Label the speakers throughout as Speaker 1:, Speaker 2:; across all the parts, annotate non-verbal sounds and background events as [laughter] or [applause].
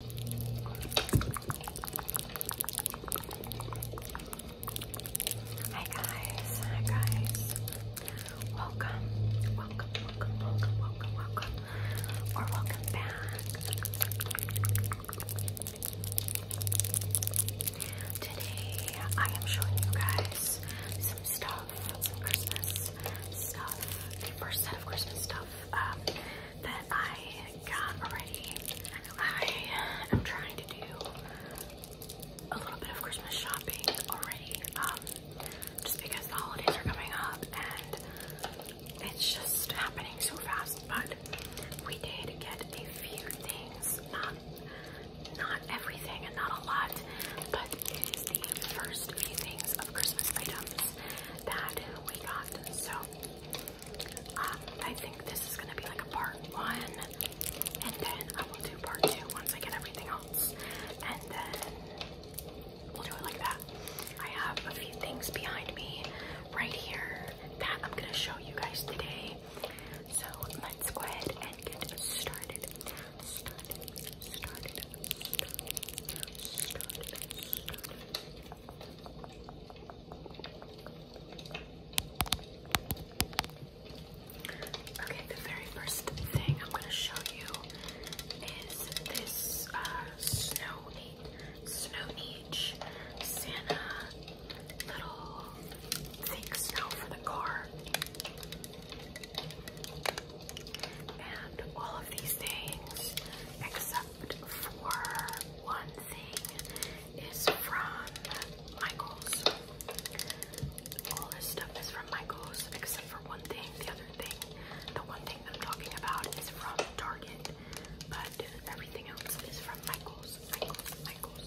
Speaker 1: Hi guys, hi guys. Welcome, welcome, welcome, welcome, welcome, welcome, or welcome back. Today I am showing you guys some stuff, some Christmas stuff, the first set of Christmas stuff um, that I got already. I am trying to do a little bit of Christmas shopping already, um, just because the holidays are coming up and it's just happening so fast. But we did get a few things, not not everything and not a lot, but it is the first few things of Christmas items that we got. So um, I think this is gonna be like a part one, and then I will do part two once I get everything else, and then we'll do it like that. I have a few things behind me right here that I'm gonna show you guys today. So let's go ahead and get started. Okay, the very first thing I'm going to show you is this uh, snowy, snowy Santa little thick snow for the car. And all of these things, except except for one thing is from Michael's. All this stuff is from Michael's except for one thing. The other thing, the one thing that I'm talking about is from Target, but everything else is from Michael's. Michael's, Michael's.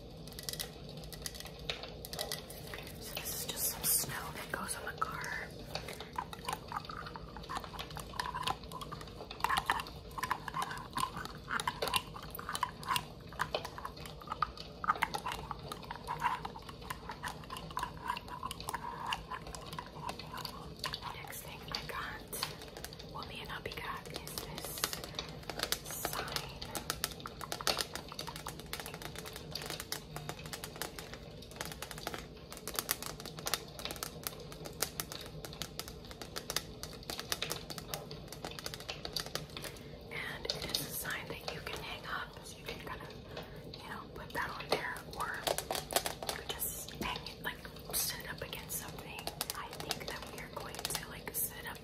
Speaker 1: So this is just some snow that goes on the car. Next thing I got well, me and hubby got is this sign. And it is a sign that you can hang up, so you can kind of, you know, put that on there, or you just hang it, like, sit it up against something. I think that we are going to, like, sit up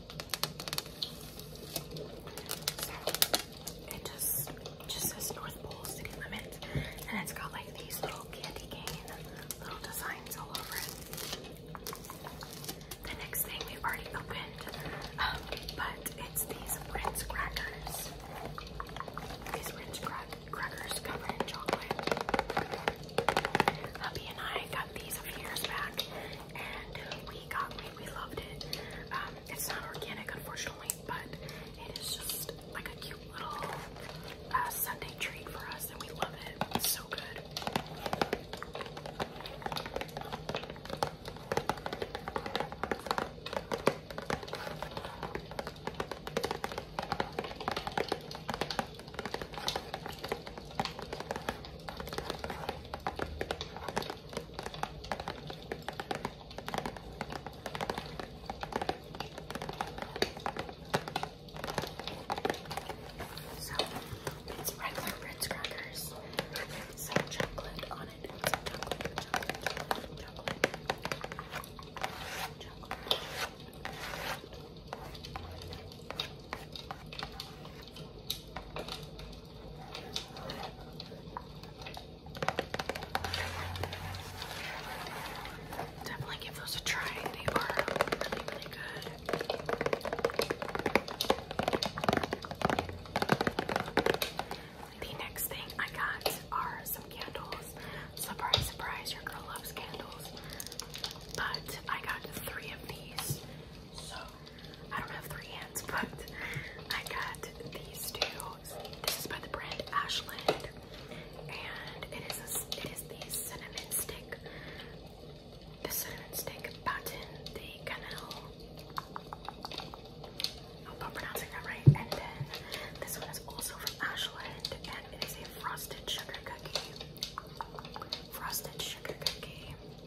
Speaker 1: it just just says North Pole City Limits, and it's got like these little candy cane little designs all over it. The next thing we've already opened, um, but it's these Ritz crackers. These Ritz crackers covered in chocolate. Hubby and I got these a few years back, and we got we, loved it. Um, it's not organic, unfortunately, but it is just like a cute little uh, Sunday treat for us, and we love it. so good. So it's regular Ritz crackers with some chocolate on it. It's chocolate, chocolate, chocolate, chocolate, chocolate. Definitely give those a try. They are really, good. The next thing I got are some candles. Surprise, surprise, your girl loves candles. But I got three of these. So I don't have three hands, but I got these two. This is by the brand Ashland, and it is it is the cinnamon stick, the cinnamon stick button, the canal. I hope I'm pronouncing that right. And then this one is also from Ashland, and it is a frosted sugar cookie. Frosted sugar cookie.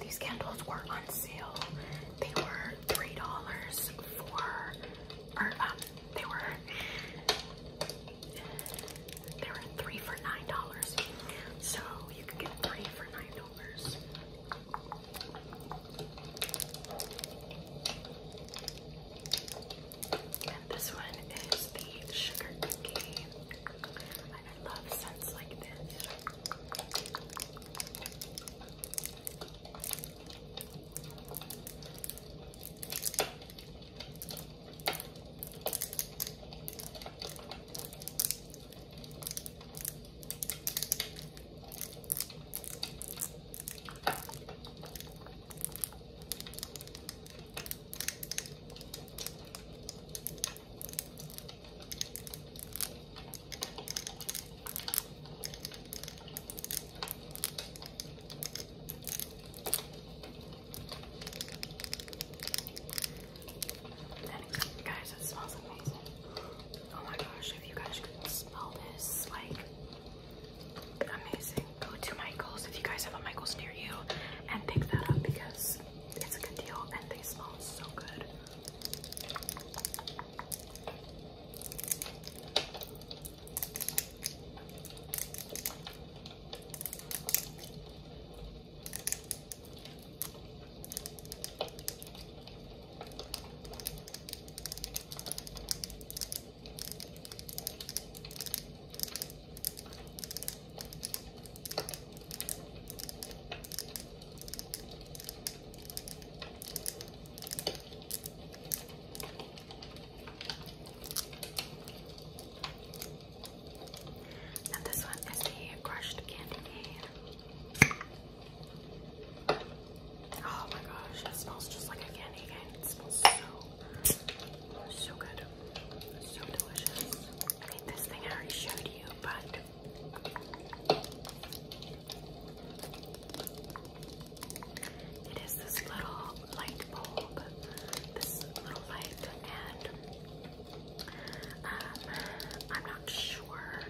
Speaker 1: These candles were on sale. They were three dollars for, or um, they were they were three for nine dollars. So you could get three for nine dollars. And this one is the sugar cookie. I love scents like this guys, it smells amazing. Oh my gosh, if you guys could smell this, like Amazing. Go to Michael's if you guys have a Michael's near you and pick that up because it's a good deal and they smell so good. And this one is the crushed candy cane. Oh my gosh, it smells just like a candy cane. It smells so, so good. So delicious. I think this thing I already showed you, but it is this little light bulb, this little light, and um, I'm not sure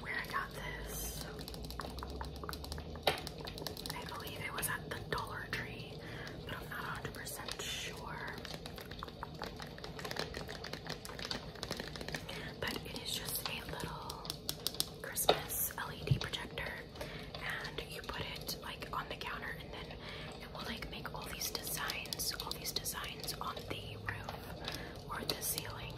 Speaker 1: where I got this. I believe it was at the Dollar Tree, but I'm not 100% sure. But it is just a little Christmas LED projector, and you put it like on the counter, and then it will like make all these designs, all these designs on the roof or the ceiling.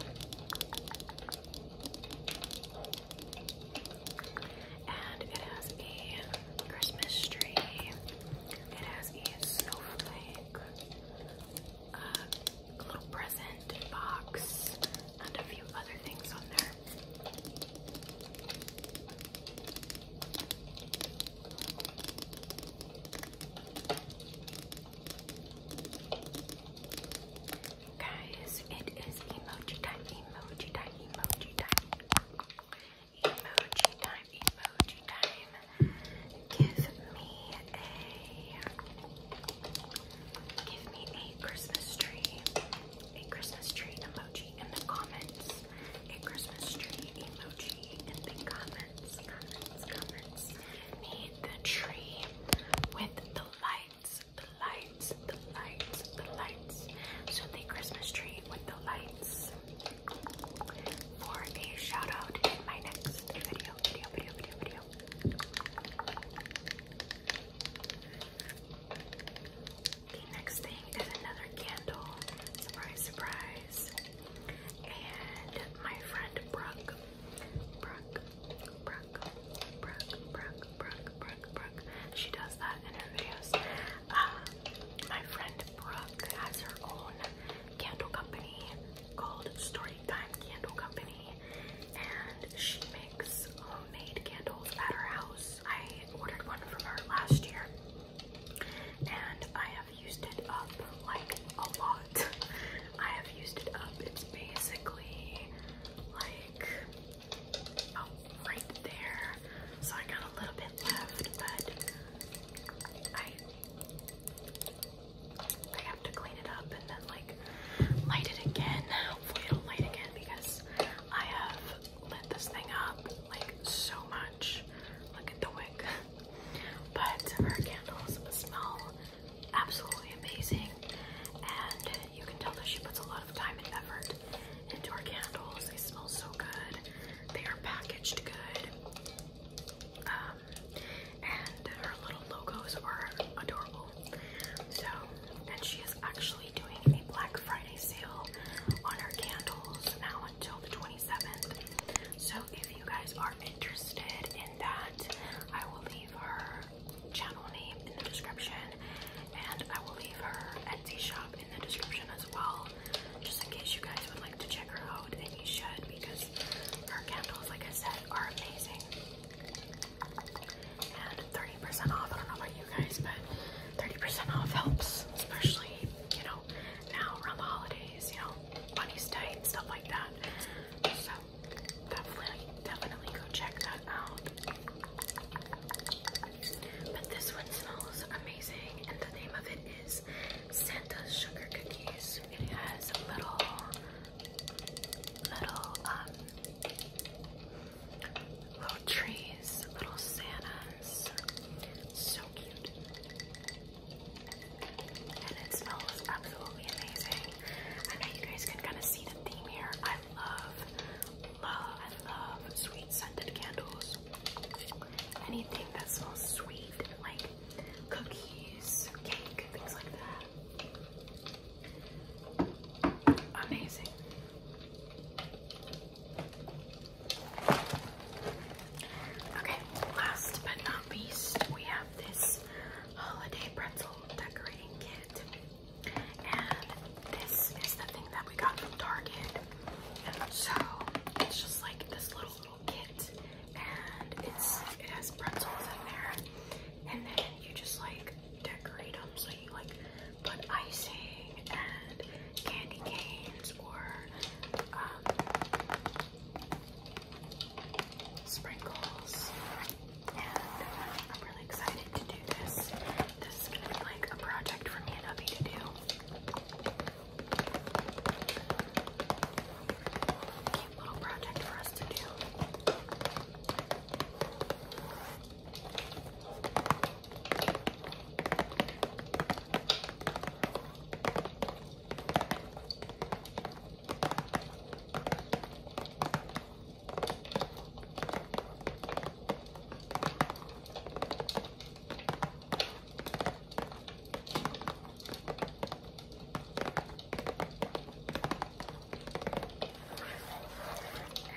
Speaker 1: And it has a Christmas tree. It has a snowflake, a little present box, and a few other things on there. Guys, it is emoji time, emoji time, emoji time. Emoji time, emoji time. Give me a give me a Christmas tree. A Christmas tree emoji in the comments. A Christmas tree emoji in the comments. Comments, comments. Give me the tree with the lights, the lights, the lights, the lights. So the Christmas tree with the lights for a shout out in my next video, video, video, video, video. The next thing is another candle. Surprise, surprise. And my friend Brooke, Brooke, Brooke, Brooke, Brooke, Brooke, Brooke, Brooke, She does that in her videos. Um, my friend Brooke has her own candle company called Storytime Candle Company, and she makes homemade candles at her house. I ordered one from her last year, and I have used it up like a lot. [laughs] I have used it up. It's basically like oh, right there. So I got a little bit left, but I I have to clean it up and then like light it again. Hopefully it'll light again because I have lit this thing up like so much. Look at the wick. [laughs] But her candles smell absolutely amazing. And you can tell that she puts a lot of time and effort into her candles. They smell so good. They are packaged good. Um, and her little logos are adorable. So, and she is actually doing a Black Friday sale on her candles now until the 27th. So, if you guys are interested in that. I will leave her channel name in the description and I will leave her Etsy shop in the description as well, just in case you guys would like to check her out, and you should because her candles, like I said, are amazing. And 30% off, I don't know about you guys, but 30% off helps, especially, you know, now around the holidays, you know, money's tight, and stuff like that. So definitely, definitely go check that out. But this one smells amazing, and the name of it is Santa's Sugar Cookies. It has little, little, um, little trees, little Santas. So cute and it smells absolutely amazing. I know you guys can kind of see the theme here. I love, love, love sweet scented candles. Anything that smells sweet, like cookies, cake, things like that. Amazing. Okay, last but not least, we have this holiday pretzel decorating kit. And this is the thing that we got from Target. So it's just like this little little kit and it's it has pretzels in there and then you just like decorate them so you like put icing and candy canes or um, sprinkles. And I'm really excited to do this. This is be like a project for me and hubby to do. Cute little project for us to do.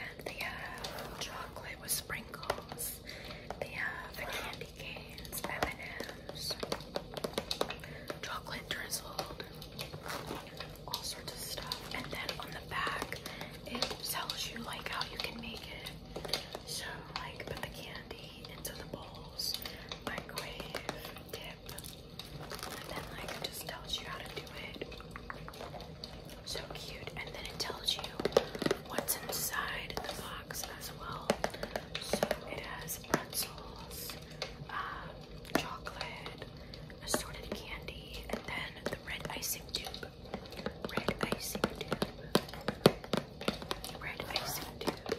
Speaker 1: And they have chocolate with sprinkles. They have the candy canes, and chocolate drizzled, all sorts of stuff. And then on the back, it tells you like how you can make it. So like put the candy into the bowls, microwave, dip, and then like it just tells you how to do it. So cute. And then it tells you what's inside the box as well. So it has pretzels, uh, chocolate, assorted candy, and then the red icing tube. Red icing tube. Red icing tube.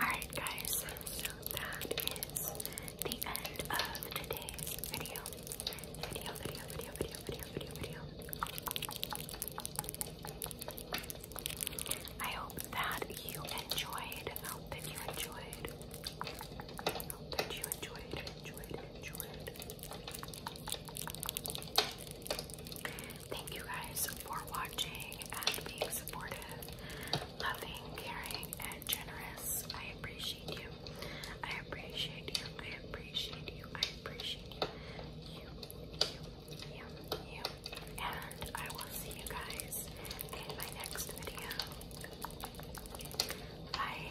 Speaker 1: Alright, guys, so that is the end of today's video. Video, video, video, video, video, video, video. I hope that you enjoyed. I hope that you enjoyed. I hope that you enjoyed, enjoyed, enjoyed. Thank you guys for watching and being supportive, loving, caring, and generous. I appreciate you. I appreciate you. I appreciate you. I appreciate you. You, you, you, And I will see you guys in my next video. Bye.